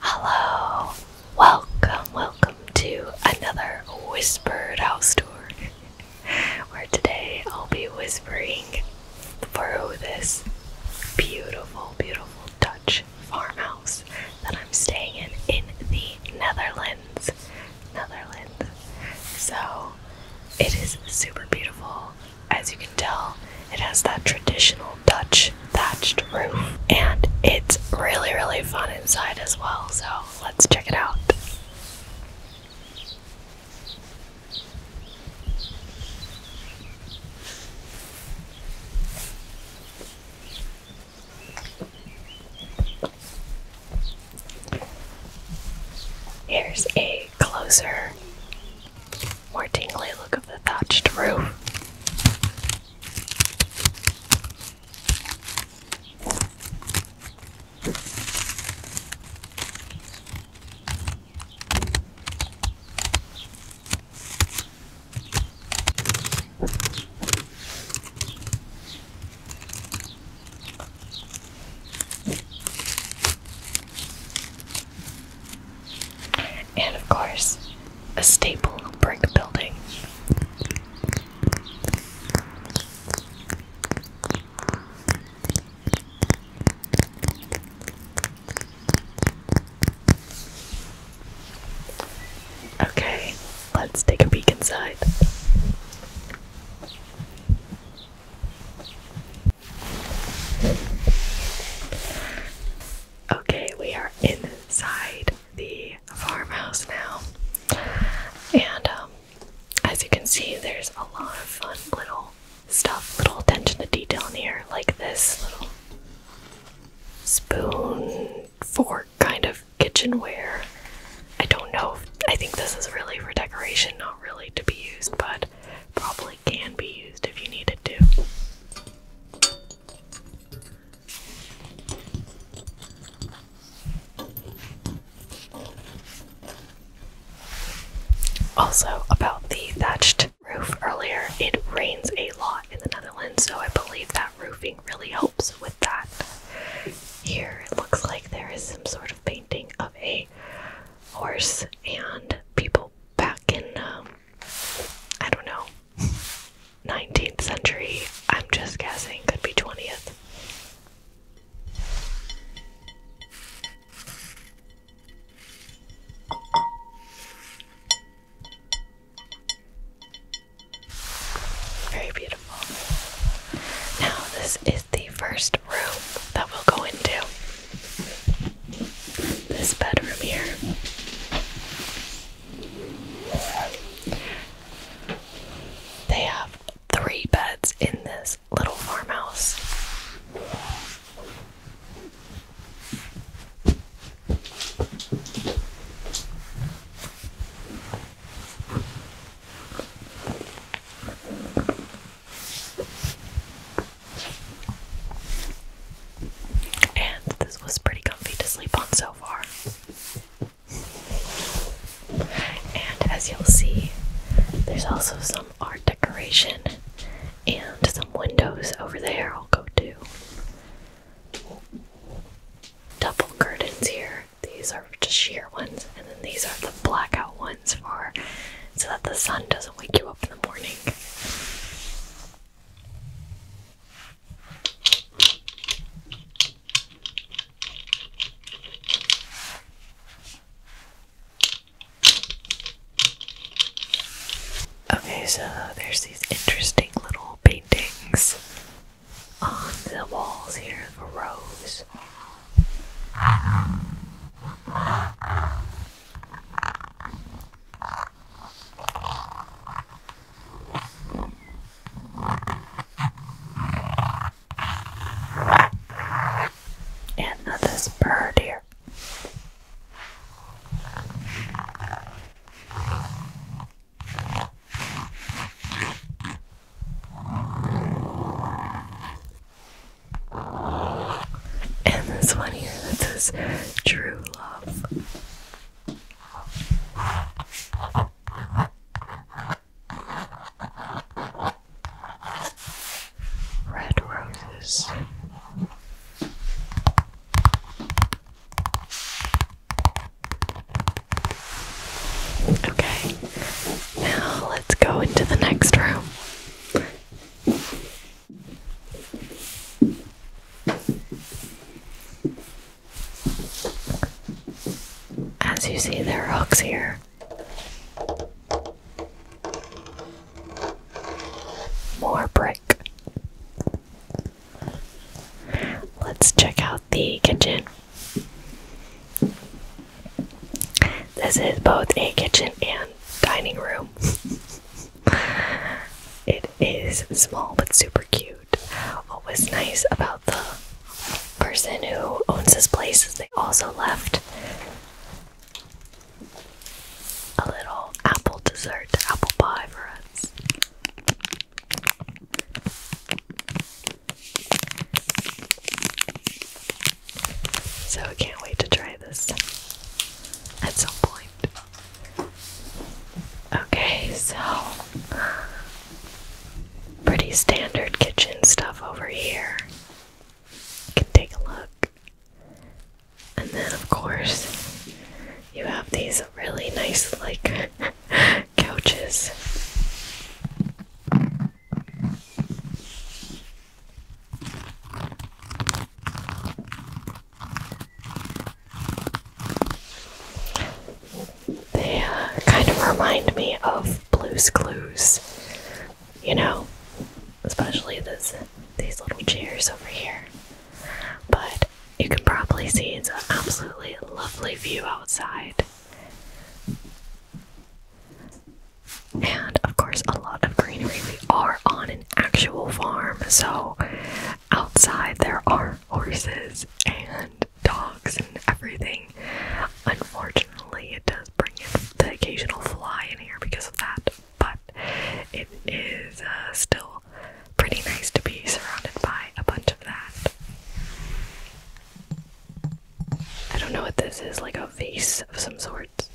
Hello, welcome, welcome to another Whispered House Tour. Where today I'll be whispering through this beautiful, beautiful Dutch farmhouse that I'm staying in in the Netherlands. Netherlands. So it is super beautiful. As you can tell, it has that traditional Dutch thatched roof. And it's really, really fun inside as well, so let's check it out. Here's a closer more tingly look of the thatched roof. And of course, a staple brick building. Okay, let's take a peek inside. Okay, we are inside the farmhouse now, and um, as you can see, there's a lot of fun little stuff, little attention to detail in here, like this little spoon, fork kind of kitchenware. I don't know, I think this is really for decoration, not really to be used, but probably can be used if you needed to. Also, about the thatched roof earlier, it rains a lot in the Netherlands, so I believe that roofing really helps with that. Here it looks like there is some sort of painting of a horse and people back in um, I don't know 19th century. I'm just guessing could be 20th. Very beautiful. Now, this is the first room that we'll go into this bedroom here. They have three beds in this little farmhouse. And this was pretty comfy to sleep on so far. And as you'll see, there's also some art decoration and some windows over there. I'll go to double curtains here these are just sheer ones, and then these are the blackout ones for so that the sun doesn't wake you up in the morning. Okay, so there's these interesting little paintings on the walls here of a rose. And now this bird here. And this one here that says True Love. Red roses. Okay, now let's go into the next room. As you see, there are hooks here. More brick. Let's check out the kitchen. This is both a kitchen and dining room. it is small but super cute. What was nice about the person who owns this place is they also left a little apple dessert, apple pie for us. So I can't wait to try this at some point. Okay, so pretty standard kitchen stuff over here. can take a look. And then, of course, you have these really nice, like, couches. They uh, kind of remind me of Blue's Clues, you know, especially this these little chairs over here. But you can probably see it's an absolutely lovely view outside. And of course, a lot of greenery. We are on an actual farm, so outside there are horses and dogs and everything. Unfortunately, it does bring in the occasional fly in here because of that, but it is uh, still pretty nice to be surrounded by a bunch of that. I don't know what this is, like a vase of some sorts.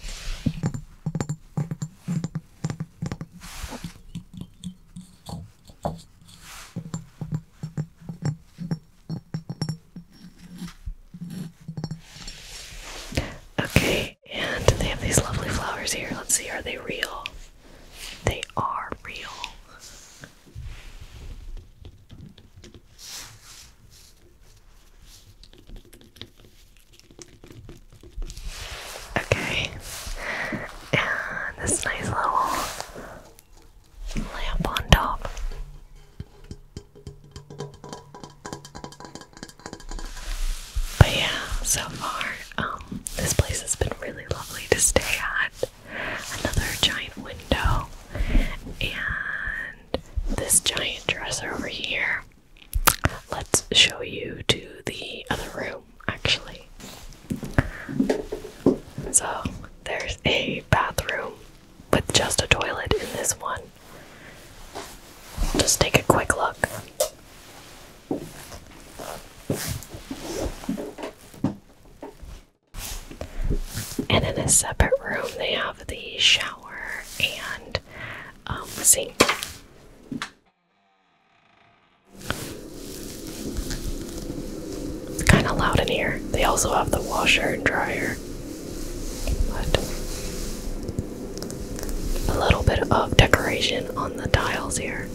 Okay, and they have these lovely flowers here. Let's see, are they real? They are real. Okay, and this nice little lamp on top. But yeah, so far, um, this place has been really lovely to stay at. Another giant window, and this giant dresser over here. Let's show you to the other room, actually. So, there's a bathroom with just a toilet in this one. Just take a quick look. And in a separate room, they have the shower and um, sink. kind of loud in here. They also have the washer and dryer. But a little bit of decoration on the tiles here.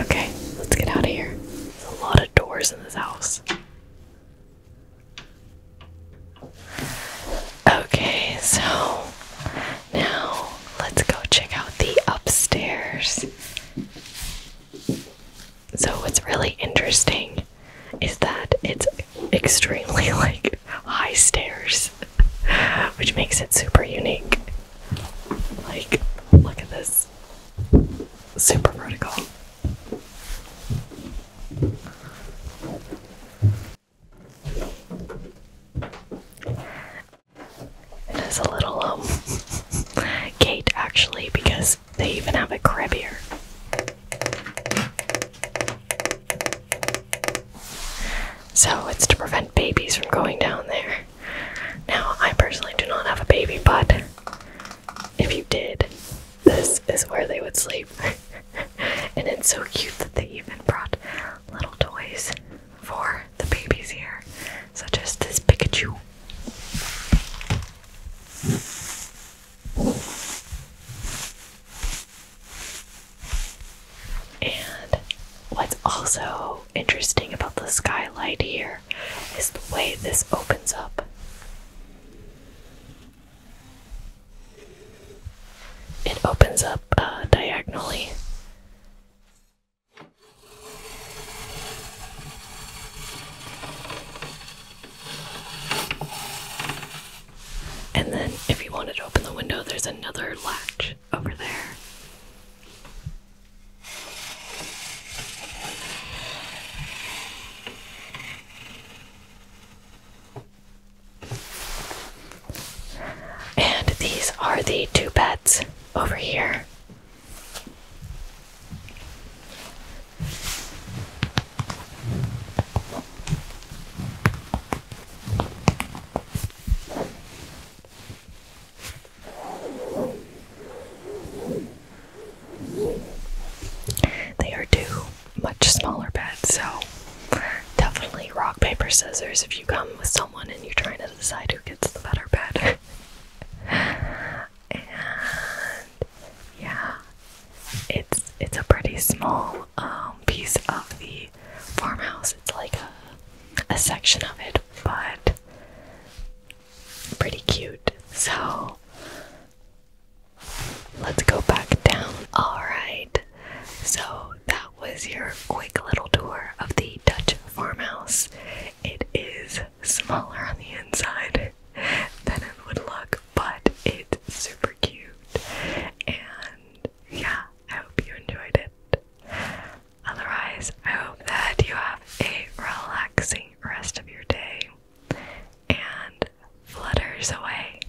Okay, let's get out of here. There's a lot of doors in this house. Okay, so now let's go check out the upstairs. So what's really interesting is that it's extremely like high stairs, which makes it super unique. Like, look at this. Super vertical. It is a little um gate actually because they even have a crab here. So it's to prevent babies from going down there. Now, I personally do not have a baby, but if you did, this is where they would sleep. and it's so cute that they even brought little toys for the babies here, such as this Pikachu. And what's also interesting about the skylight here is the way this opens up. It opens up uh, diagonally. And then, if you wanted to open the window, there's another latch over there. And these are the two beds over here. They are two much smaller beds, so definitely rock, paper, scissors if you come with someone and you're trying to decide who gets the better bed. and yeah, it's it's a pretty small um, piece of the farmhouse. It's like a a section of it, but pretty cute. So let's go back down. All right, so that was your quick little tour of the Dutch farmhouse. It is smaller on the inside than it would look, but it's super cute. And yeah, I hope you enjoyed it. Otherwise, I hope that you have a relaxing rest of your day and flutters away.